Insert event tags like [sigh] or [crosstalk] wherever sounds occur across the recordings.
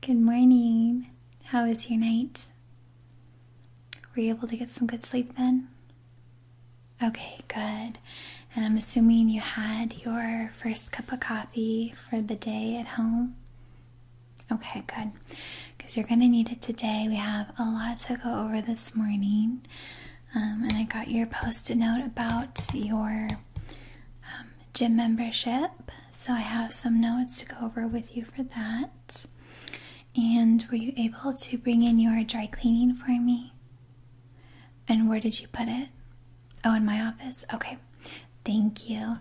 Good morning. How was your night? Were you able to get some good sleep then? Okay, good. And I'm assuming you had your first cup of coffee for the day at home. Okay, good. Because you're going to need it today. We have a lot to go over this morning. Um, and I got your post it note about your um, gym membership so I have some notes to go over with you for that. And were you able to bring in your dry cleaning for me? And where did you put it? Oh, in my office? Okay, thank you.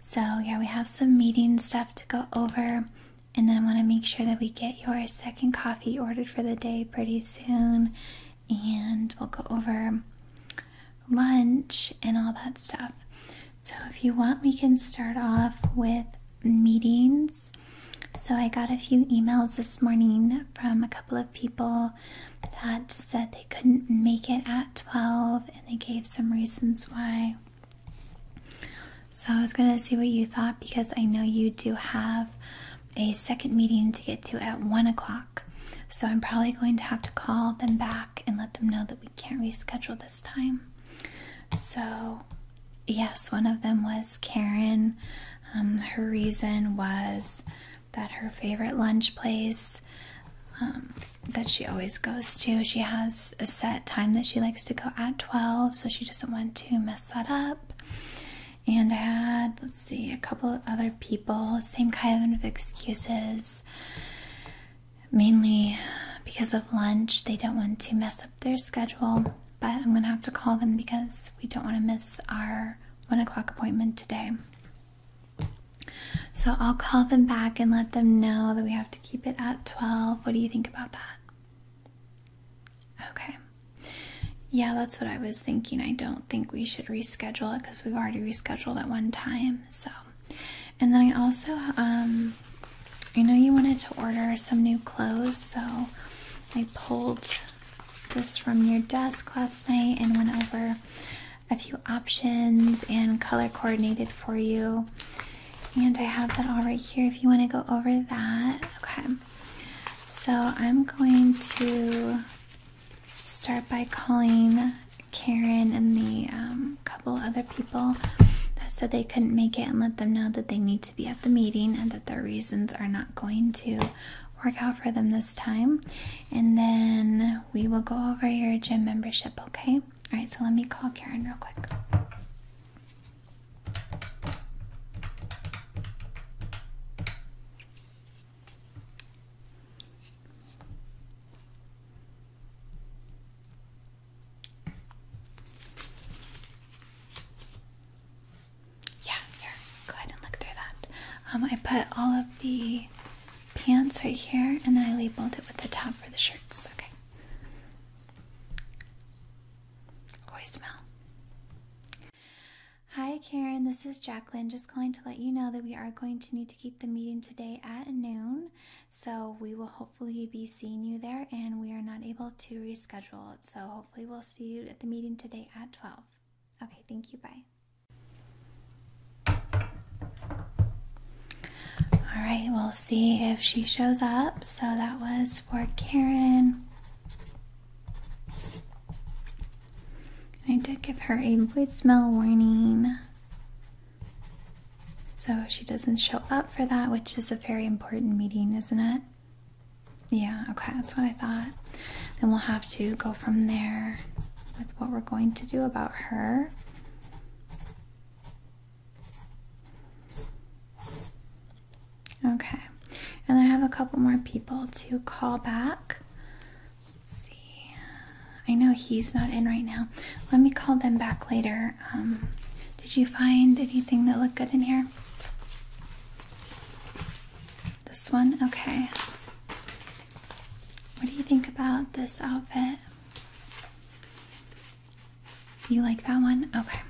So, yeah, we have some meeting stuff to go over. And then I want to make sure that we get your second coffee ordered for the day pretty soon. And we'll go over lunch and all that stuff. So, if you want, we can start off with meetings. So, I got a few emails this morning from a couple of people that said they couldn't make it at 12 and they gave some reasons why. So, I was going to see what you thought because I know you do have a second meeting to get to at 1 o'clock. So I'm probably going to have to call them back and let them know that we can't reschedule this time. So, yes, one of them was Karen. Um, her reason was that her favorite lunch place um, that she always goes to, she has a set time that she likes to go at 12, so she doesn't want to mess that up. And I had, let's see, a couple of other people, same kind of excuses mainly because of lunch. They don't want to mess up their schedule, but I'm gonna have to call them because we don't want to miss our one o'clock appointment today. So I'll call them back and let them know that we have to keep it at 12. What do you think about that? Okay. Yeah, that's what I was thinking. I don't think we should reschedule it because we've already rescheduled at one time. So and then I also I um, know you wanted to order some new clothes, so I pulled this from your desk last night and went over a few options and color coordinated for you. And I have that all right here if you want to go over that. Okay. So I'm going to start by calling Karen and the um, couple other people that said they couldn't make it and let them know that they need to be at the meeting and that their reasons are not going to work out for them this time. And then we will go over your gym membership, okay? All right, so let me call Karen real quick. Yeah, here. Go ahead and look through that. Um, I put all of the pants right here, and then I labeled it with the top for the shirts. Okay. Always smell. Hi, Karen. This is Jacqueline. Just just calling to let you know that we are going to need to keep the meeting today at noon. So we will hopefully be seeing you there, and we are not able to reschedule So hopefully, we'll see you at the meeting today at 12. Okay, thank you. Bye. All right, we'll see if she shows up. So that was for Karen. I did give her a smell warning. So she doesn't show up for that, which is a very important meeting, isn't it? Yeah, okay, that's what I thought. Then we'll have to go from there with what we're going to do about her. Okay, and I have a couple more people to call back. Let's see. I know he's not in right now. Let me call them back later. Um, did you find anything that looked good in here? This one? Okay. What do you think about this outfit? You like that one? Okay.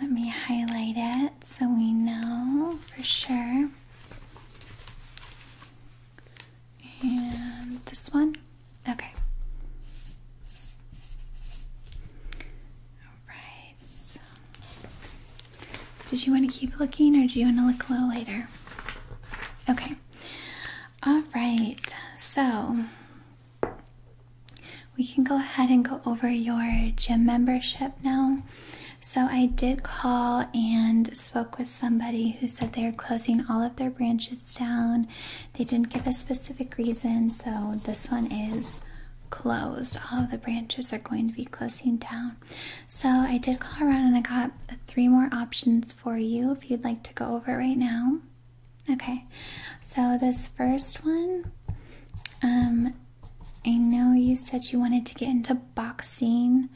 Let me highlight it so we know for sure. And this one? Okay. Alright. Did you want to keep looking or do you want to look a little later? Okay. Alright, so we can go ahead and go over your gym membership now. So I did call and spoke with somebody who said they are closing all of their branches down. They didn't give a specific reason, so this one is closed. All of the branches are going to be closing down. So I did call around and I got three more options for you if you'd like to go over it right now. Okay, so this first one, um, I know you said you wanted to get into boxing.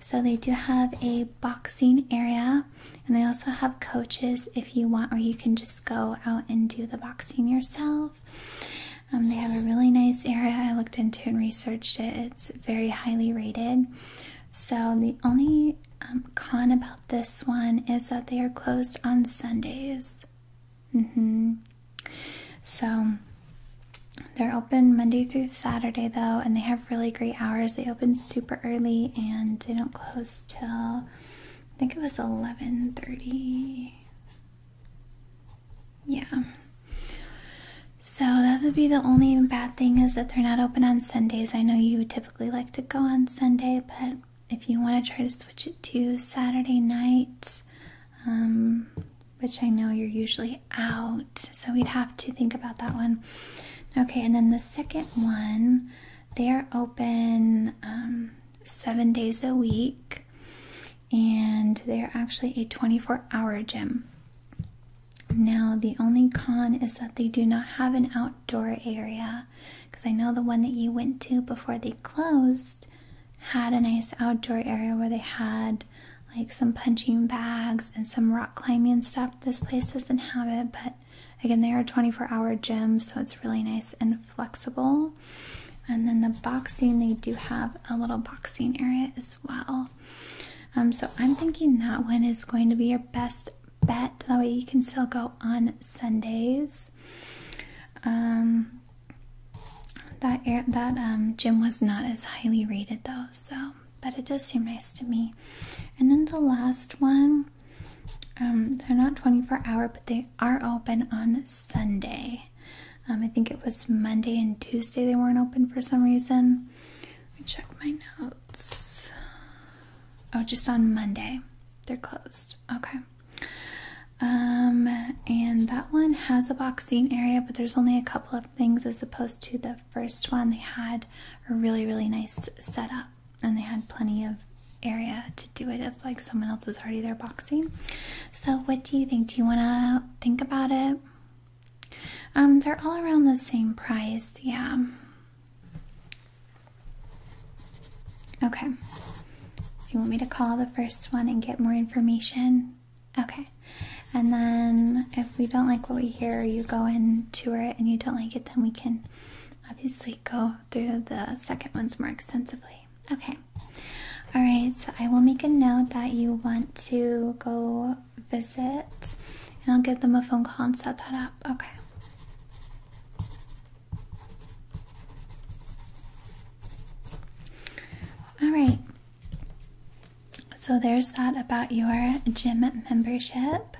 So they do have a boxing area, and they also have coaches if you want, or you can just go out and do the boxing yourself. Um, they have a really nice area. I looked into and researched it. It's very highly rated. So the only um, con about this one is that they are closed on Sundays. Mm-hmm. So they're open Monday through Saturday though, and they have really great hours. They open super early and they don't close till I think it was 11:30. Yeah. So that would be the only bad thing is that they're not open on Sundays. I know you typically like to go on Sunday, but if you want to try to switch it to Saturday night, um, which I know you're usually out. So we'd have to think about that one. Okay, and then the second one, they are open um, seven days a week, and they're actually a 24 hour gym. Now, the only con is that they do not have an outdoor area because I know the one that you went to before they closed had a nice outdoor area where they had like some punching bags and some rock climbing stuff this place doesn't have it, but again, they are 24 hour gyms, so it's really nice and flexible. And then the boxing, they do have a little boxing area as well. Um, so I'm thinking that one is going to be your best bet. That way you can still go on Sundays. Um, that that um, gym was not as highly rated though, so but it does seem nice to me. And then the last one, um, they're not 24 hour, but they are open on Sunday. Um, I think it was Monday and Tuesday they weren't open for some reason. Let me check my notes. Oh, just on Monday. They're closed. Okay. Um, and that one has a boxing area, but there's only a couple of things as opposed to the first one, they had a really, really nice setup and they had plenty of area to do it if like someone else is already there boxing. So what do you think? Do you wanna think about it? Um they're all around the same price, yeah. Okay. So you want me to call the first one and get more information? Okay. And then if we don't like what we here, you go and tour it, and you don't like it, then we can obviously go through the second ones more extensively. Okay. All right, so I will make a note that you want to go visit, and I'll give them a phone call and set that up. Okay. All right. So there's that about your gym membership.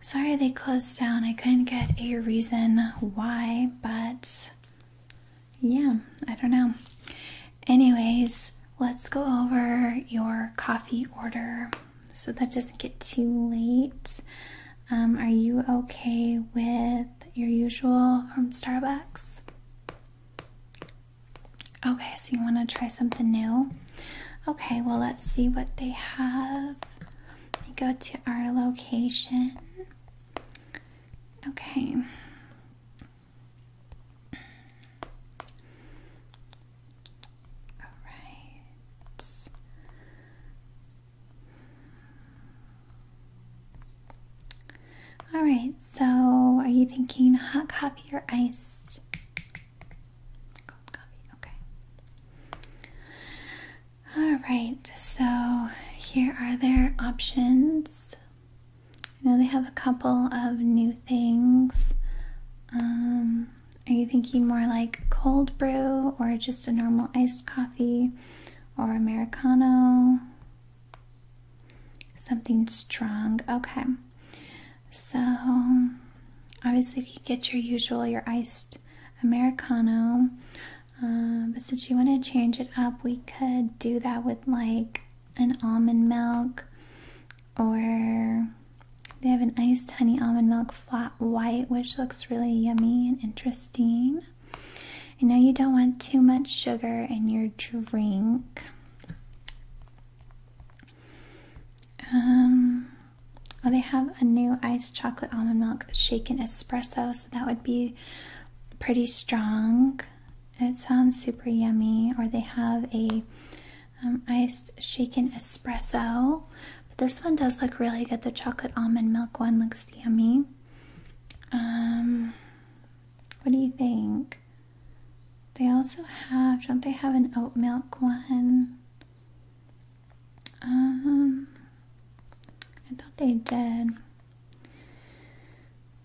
Sorry they closed down. I couldn't get a reason why, but yeah, I don't know. Anyways, let's go over your coffee order so that doesn't get too late. Um, are you okay with your usual from Starbucks? Okay, so you want to try something new? Okay, well, let's see what they have. go to our location. Okay. All right. All right, so are you thinking hot coffee or iced? okay. Alright, so here are their options. I know they have a couple of new things. Um, are you thinking more like cold brew or just a normal iced coffee or Americano? Something strong. Okay. So, obviously, you get your usual, your iced Americano. Um, but since you want to change it up, we could do that with like an almond milk, or they have an iced honey almond milk flat white, which looks really yummy and interesting. I know you don't want too much sugar in your drink. Um, oh, they have a new iced chocolate almond milk shaken espresso, so that would be pretty strong. It sounds super yummy. Or they have a um, iced shaken espresso, but this one does look really good. The chocolate almond milk one looks yummy. Um, what do you think? They also have, don't they have an oat milk one? Um, I thought they did.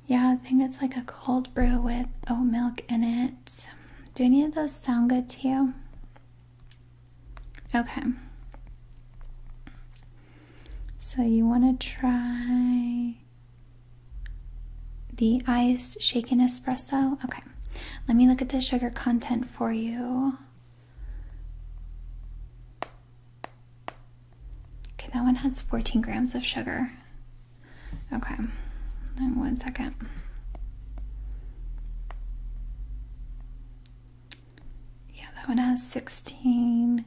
Yeah, I think it's like a cold brew with oat milk in it. Do any of those sound good to you? Okay. So you want to try the iced shaken espresso? Okay let me look at the sugar content for you. Okay, that one has 14 grams of sugar. Okay, then one second. Yeah, that one has 16.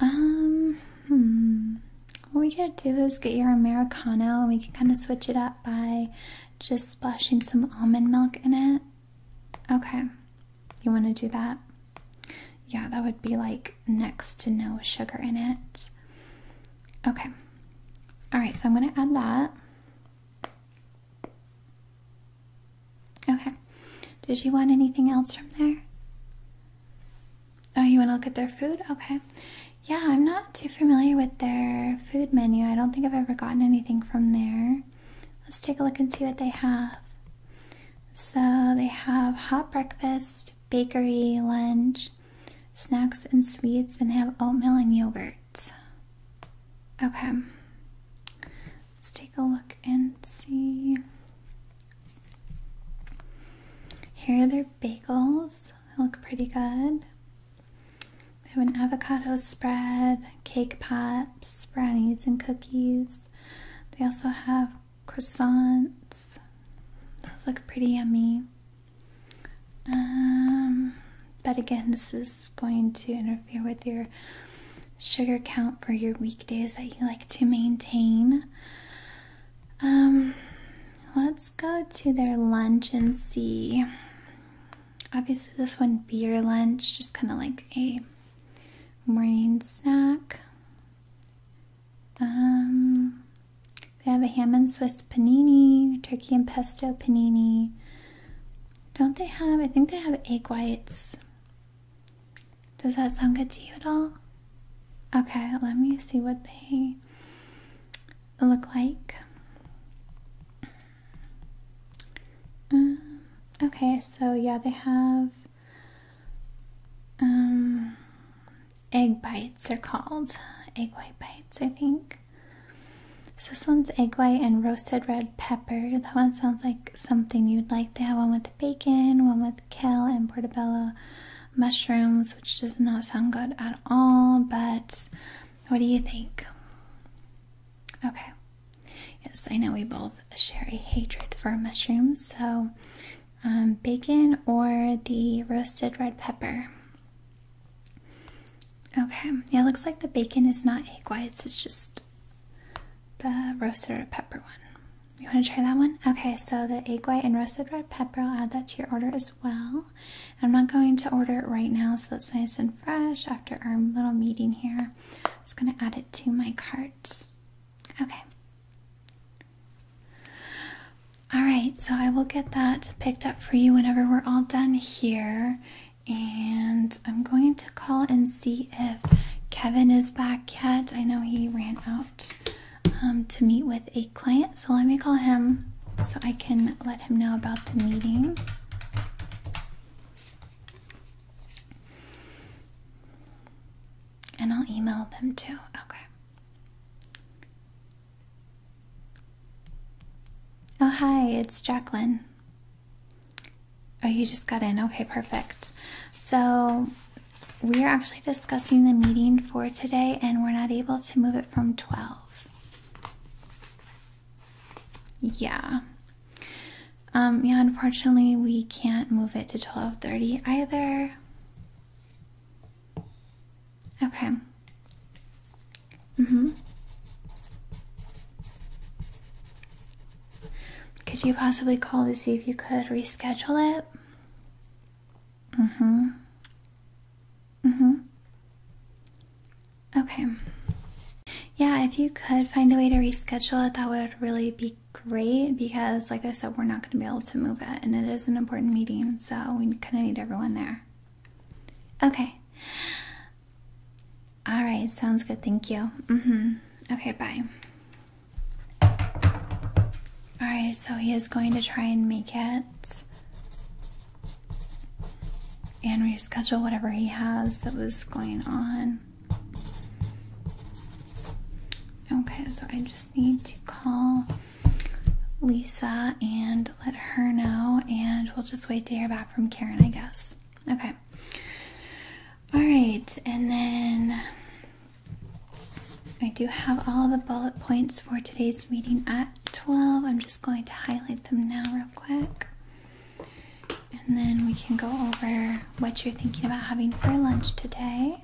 Um, hmm. What we could do is get your Americano and we can kind of switch it up by just splashing some almond milk in it. Okay, you want to do that? Yeah, that would be like next to no sugar in it. Okay, all right, so I'm going to add that. Okay, did you want anything else from there? Oh, you want to look at their food? Okay, yeah, I'm not too familiar with their food menu. I don't think I've ever gotten anything from there. Let's take a look and see what they have. So, they have hot breakfast, bakery, lunch, snacks, and sweets, and they have oatmeal and yogurt. Okay, let's take a look and see. Here are their bagels, they look pretty good. We have an avocado spread, cake pops, brownies, and cookies. They also have croissants. Those look pretty yummy. Um, but again, this is going to interfere with your sugar count for your weekdays that you like to maintain. Um, let's go to their lunch and see. Obviously, this one beer lunch, just kind of like a morning snack. Um, they have a ham and Swiss panini, turkey and pesto panini. Don't they have? I think they have egg whites. Does that sound good to you at all? Okay, let me see what they look like. Mm, okay, so yeah, they have um, egg bites, are called egg white bites, I think. this one's egg white and roasted red pepper. That one sounds like something you'd like. to have one with bacon, one with kale and portobello mushrooms, which does not sound good at all, but what do you think? Okay. Yes, I know we both share a hatred for mushrooms, so um, bacon or the roasted red pepper. Okay, yeah, it looks like the bacon is not egg whites, it's just the roasted red pepper one. You want to try that one? Okay, so the egg white and roasted red pepper, I'll add that to your order as well. I'm not going to order it right now, so it's nice and fresh after our little meeting here. I'm just going to add it to my cart. Okay. All right, so I will get that picked up for you whenever we're all done here. And I'm going to call and see if Kevin is back yet. I know he ran out um, to meet with a client, so let me call him so I can let him know about the meeting. And I'll email them too. Okay. Oh, hi, it's Jacqueline. Oh, you just got in. Okay, perfect. So, we are actually discussing the meeting for today, and we're not able to move it from 12. Yeah. Um, yeah, unfortunately, we can't move it to 12:30 either. Okay. Mhm. Mm could you possibly call to see if you could reschedule it? Mhm. Mm Mm-hmm. Okay. Yeah, if you could find a way to reschedule it, that would really be great because, like I said, we're not going to be able to move it, and it is an important meeting, so we kind of need everyone there. Okay. All right, sounds good. Thank you. Mm-hmm. Okay, bye. All right, so he is going to try and make it and reschedule whatever he has that was going on. Okay, so I just need to call Lisa and let her know, and we'll just wait to hear back from Karen, I guess. Okay. All right, and then I do have all the bullet points for today's meeting at 12. I'm just going to highlight them now, real quick. And then we can go over what you're thinking about having for lunch today.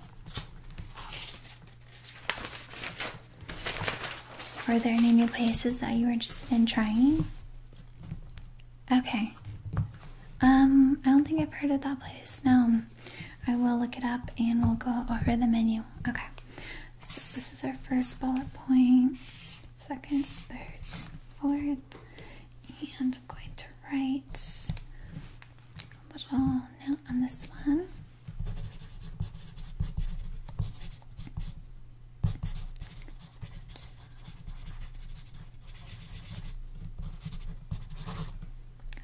Are there any new places that you're interested in trying? Okay. Um, I don't think I've heard of that place. No. I will look it up and we'll go over the menu. Okay. So this is our first bullet point, second, third, fourth, and I'm going to write a little note on this one.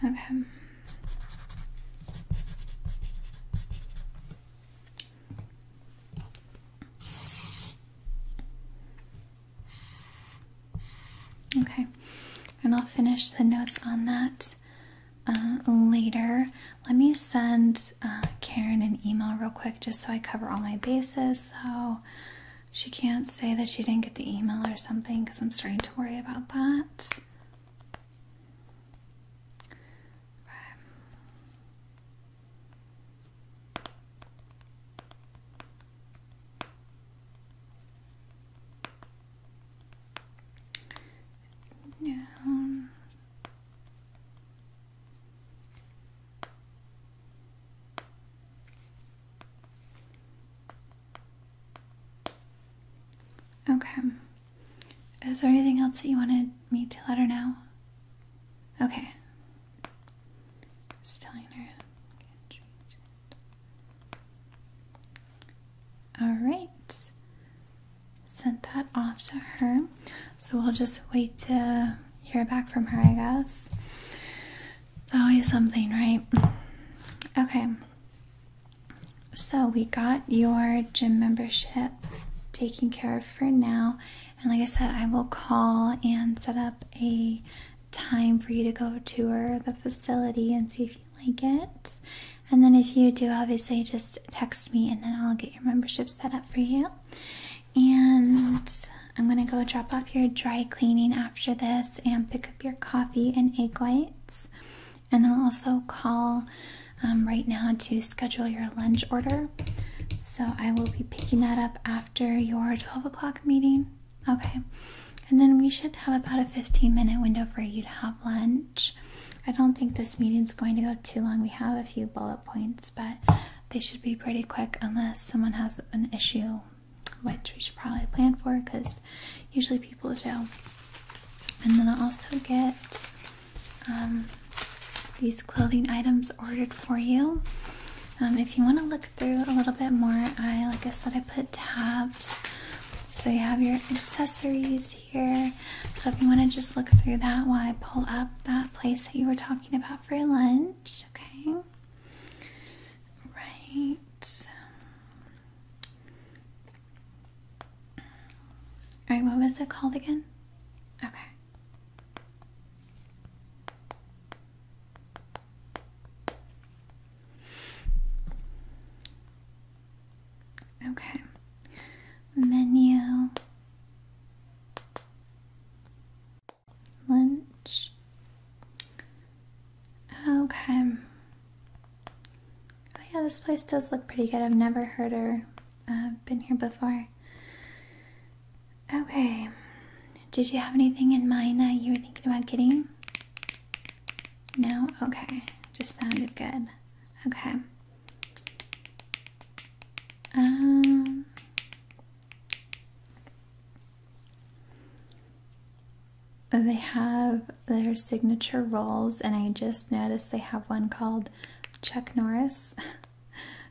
Okay. Okay, and I'll finish the notes on that uh, later. Let me send uh, Karen an email real quick just so I cover all my bases so she can't say that she didn't get the email or something because I'm starting to worry about that. Um, okay. Okay, is there anything else that you wanted me to let her know? Okay. Just telling her. Alright. Sent that off to her. So we'll just wait to hear back from her, I guess. It's always something, right? Okay. So we got your gym membership taken care of for now. And like I said, I will call and set up a time for you to go tour the facility and see if you like it. And then if you do, obviously just text me and then I'll get your membership set up for you. And I'm gonna go drop off your dry cleaning after this and pick up your coffee and egg whites. And then I'll also call um, right now to schedule your lunch order. So I will be picking that up after your 12 o'clock meeting. Okay. And then we should have about a 15 minute window for you to have lunch. I don't think this meeting is going to go too long. We have a few bullet points, but they should be pretty quick unless someone has an issue, which we should probably plan for because usually people do. And then I'll also get um, these clothing items ordered for you. Um, if you want to look through a little bit more, I like I said, I put tabs. So you have your accessories here. So if you want to just look through that while I pull up that place that you were talking about for lunch, okay? Right. All right, what was it called again? Okay. Okay. Menu. Lunch. Okay. Oh yeah, this place does look pretty good. I've never heard or I've uh, been here before. Okay. Did you have anything in mind that you were thinking about getting? No? Okay. Just sounded good. Okay. Um. They have their signature rolls, and I just noticed they have one called Chuck Norris. [laughs]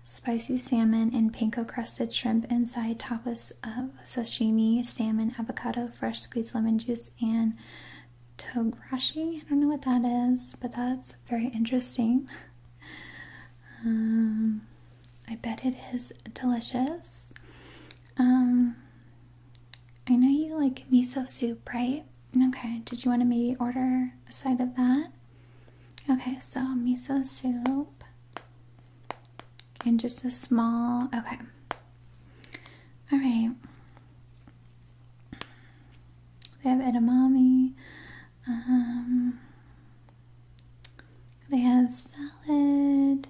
Spicy salmon and panko crusted shrimp inside tapas of sashimi, salmon, avocado, fresh squeezed lemon juice, and tograshi. I don't know what that is, but that's very interesting. Um, I bet it is delicious. Um, I know you like miso soup, right? Okay, did you want to maybe order a side of that? Okay, so miso soup and just a small. Okay. All right. They have edamame. Um, they have salad.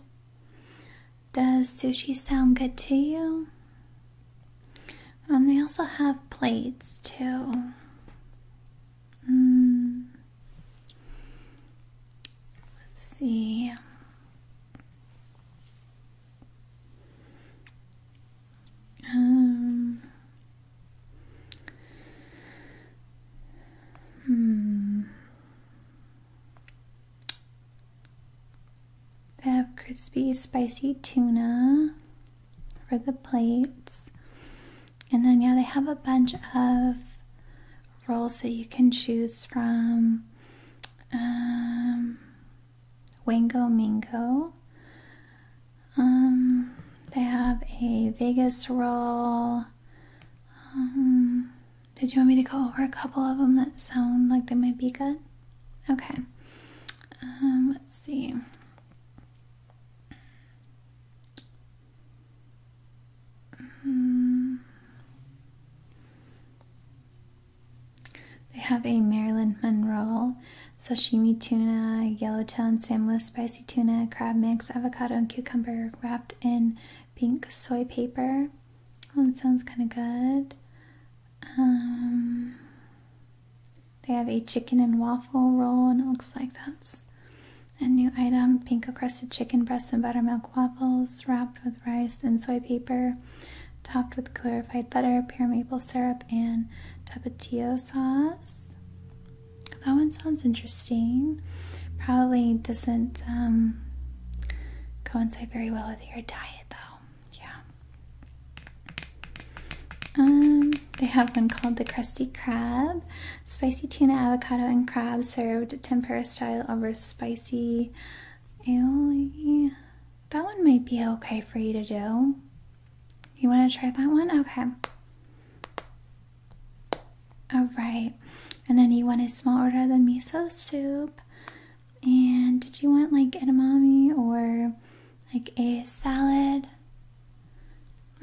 Does sushi sound good to you? Um, they also have plates too. Hmm. Let's see. Um. Hmm. They have crispy, spicy tuna for the plates. And then, yeah, they have a bunch of rolls that you can choose from. Um, Wingo Mingo. Um, they have a Vegas roll. Um, did you want me to go over a couple of them that sound like they might be good? Okay. Um, let's see. They have a Maryland Monroe, sashimi tuna, yellowtail sandwich, spicy tuna, crab mix, avocado and cucumber wrapped in pink soy paper. Oh, that sounds kind of good. Um, they have a chicken and waffle roll, and it looks like that's a new item. Pink crusted chicken breasts and buttermilk waffles wrapped with rice and soy paper, topped with clarified butter, pear maple syrup, and tapatio sauce. That one sounds interesting. Probably doesn't um, coincide very well with your diet, though. Yeah. Um, they have one called the Crusty Crab. Spicy tuna, avocado, and crab served tempura style over spicy aioli. That one might be okay for you to do. You want to try that one? Okay. Alright. And then you want a small order of the miso soup. And did you want like edamame or like a salad.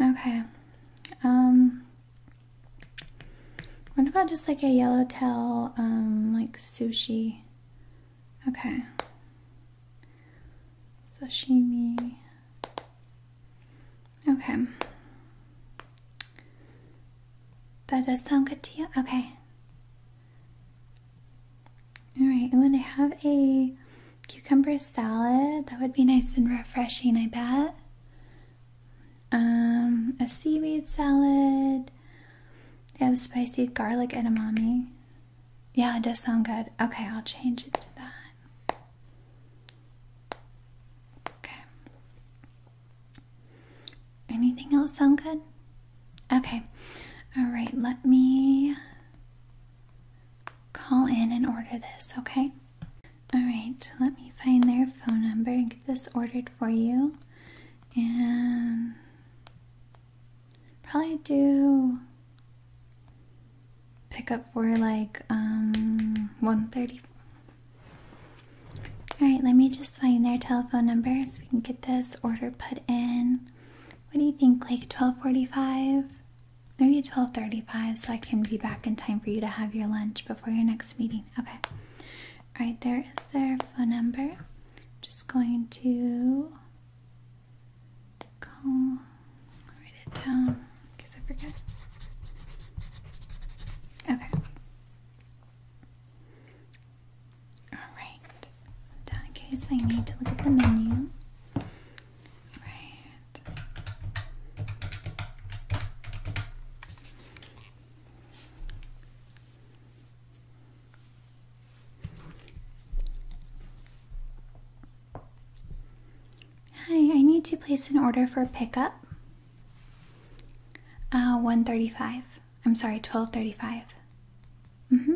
Okay. Um what about just like a yellowtail um like sushi? Okay. Sashimi. Okay. That does sound good to you? Okay. Alright, and when they have a cucumber salad. That would be nice and refreshing, I bet. Um, a seaweed salad. They have spicy garlic edamame. Yeah, it does sound good. Okay, I'll change it to that. Okay. Anything else sound good? Okay. All right, let me call in and order this, okay? Alright, let me find their phone number and get this ordered for you. And probably do pick up for like um 130. Alright, let me just find their telephone number so we can get this order put in. What do you think? Like 1245? Are you 12:35 so I can be back in time for you to have your lunch before your next meeting? Okay. All right, there is their phone number. just going to call write it down because I forget. Okay. All right. Down in case I need to look at the menu. Hi, I need to place an order for pickup. Uh, 135. I'm sorry, 1235. Mm-hmm.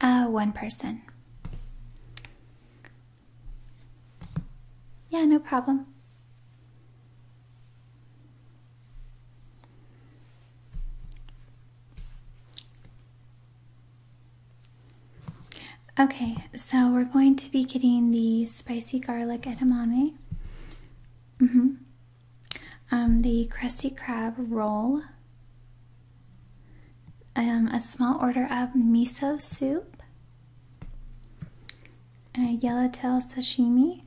Uh, one person. Yeah, no problem. Okay, so we're going to be getting the spicy garlic edamame, hmm um, the crusty crab roll, um, a small order of miso soup, a yellowtail sashimi,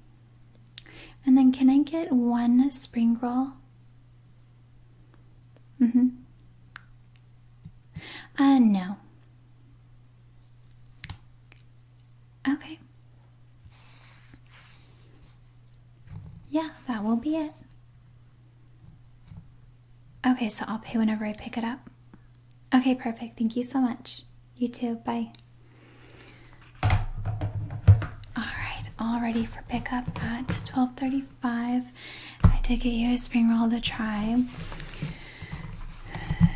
and then can I get one spring roll? Mm-hmm. Uh, no. Okay. Yeah, that will be it. Okay, so I'll pay whenever I pick it up. Okay, perfect. Thank you so much. You too. Bye. Alright, all ready for pickup at 1235. I did get you a spring roll to try.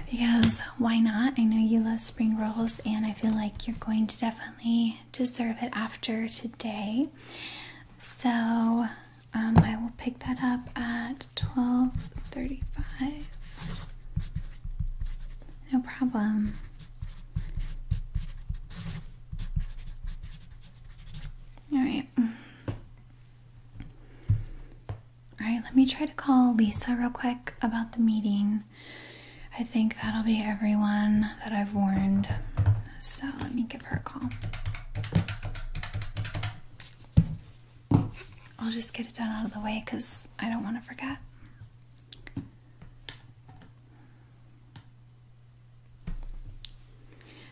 Because why not? I know you love spring rolls and I feel like you're going to definitely deserve it after today. So um, I will pick that up at 12:35. No problem. All right. All right, let me try to call Lisa real quick about the meeting. I think that'll be everyone that I've warned. So let me give her a call. I'll just get it done out of the way because I don't want to forget.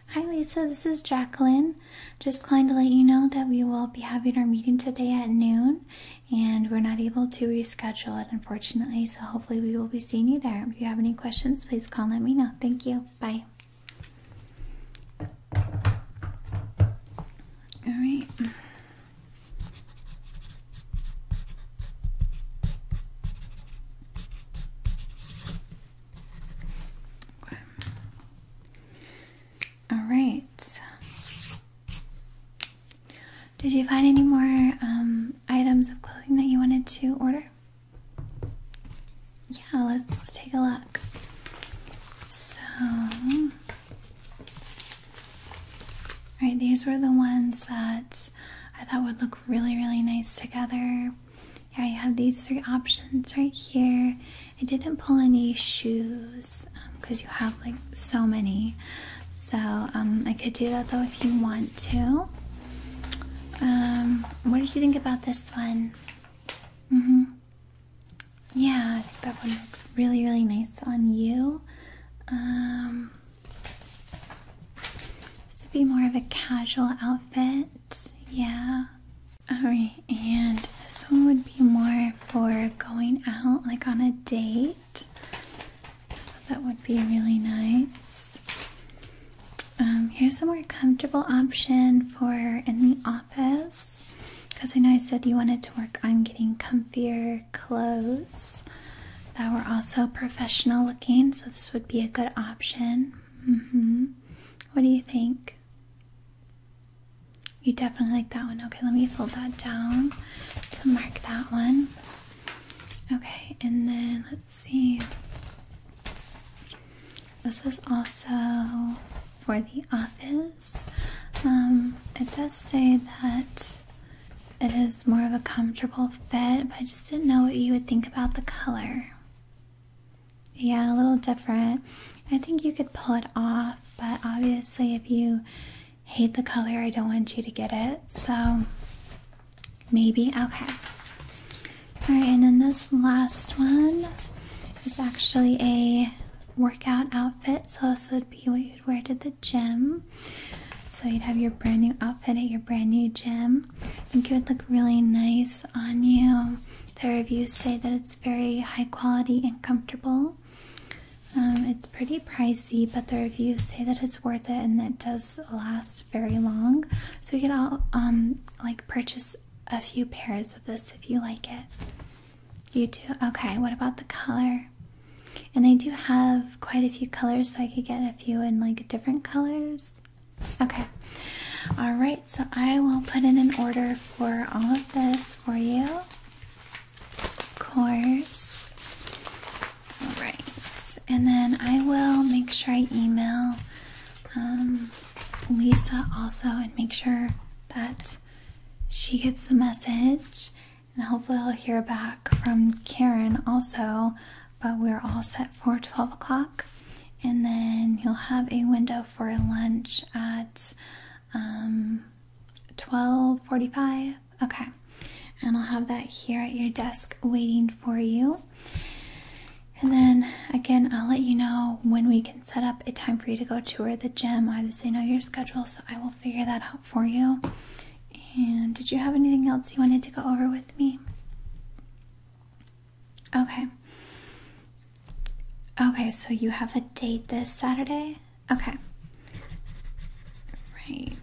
Hi, Lisa. This is Jacqueline. Just calling to let you know that we will be having our meeting today at noon, and we're not able to reschedule it, unfortunately. So, hopefully, we will be seeing you there. If you have any questions, please call and let me know thank you. Bye. All right. All right. Did you find any more um, items of clothing that you wanted to order? Yeah, let's take a look. So, right, these were the ones that I thought would look really, really nice together. Yeah, you have these three options right here. I didn't pull any shoes because um, you have like so many. So, um, I could do that though if you want to. Um, what did you think about this one? hmm Yeah, I think that one looks really, really nice on you. Um, this would be more of a casual outfit. Yeah. Alright, and this one would be more for going out, like on a date. That would be really nice. Um, here's a more comfortable option for in the office. Because I know I said you wanted to work on getting comfier clothes that were also professional looking, so this would be a good option. Mm-hmm. What do you think? You definitely like that one. Okay, let me fold that down to mark that one. Okay, and then let's Let's see. This was also for the office. Um, it does say that it is more of a comfortable fit, but I just didn't know what you would think about the color. Yeah, a little different. I think you could pull it off, but obviously, if you hate the color, I don't want you to get it. So Maybe? Okay. Alright, and then this last one is actually a workout outfit. So, this would be what you'd wear to the gym. So, you'd have your brand new outfit at your brand new gym. I think it would look really nice on you. The reviews say that it's very high quality and comfortable. Um, it's pretty pricey, but the reviews say that it's worth it and that does last very long. So you can all um like purchase a few pairs of this if you like it. You do? Okay, what about the color? And they do have quite a few colors, so I could get a few in like different colors. Okay. Alright, so I will put in an order for all of this for you. Of course. Alright and then I will make sure I email um, Lisa also and make sure that she gets the message. And hopefully, I'll hear back from Karen also. But we're all set for 12 o'clock, and then you'll have a window for lunch at 12:45. Um, okay, and I'll have that here at your desk waiting for you. And then again, I'll let you know when we can set up a time for you to go tour the gym. I obviously know your schedule, so I will figure that out for you. And did you have anything else you wanted to go over with me? Okay. Okay, so you have a date this Saturday? Okay. Right.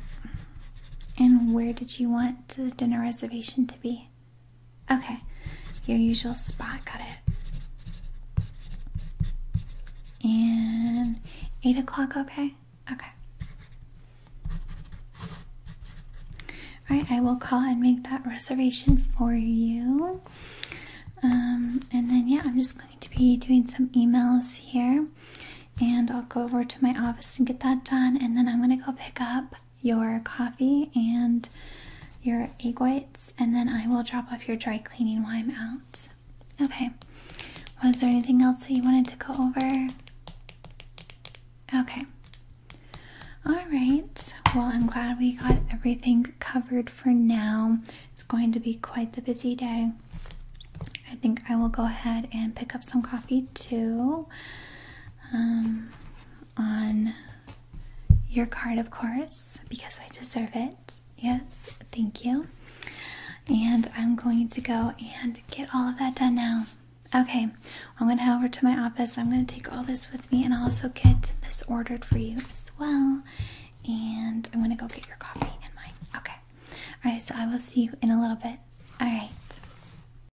And where did you want the dinner reservation to be? Okay, your usual spot. Got it. And eight o'clock. Okay. Okay. All right. I will call and make that reservation for you. Um, and then yeah, I'm just going to be doing some emails here, and I'll go over to my office and get that done. And then I'm gonna go pick up your coffee and your egg whites, and then I will drop off your dry cleaning while I'm out. Okay. Was there anything else that you wanted to go over? Okay. All right. Well, I'm glad we got everything covered for now. It's going to be quite the busy day. I think I will go ahead and pick up some coffee too um, on your card, of course, because I deserve it. Yes, thank you. And I'm going to go and get all of that done now. Okay, I'm going to head over to my office. I'm going to take all this with me and also get this ordered for you as well. And I'm going to go get your coffee and mine. Okay. All right, so I will see you in a little bit. All right.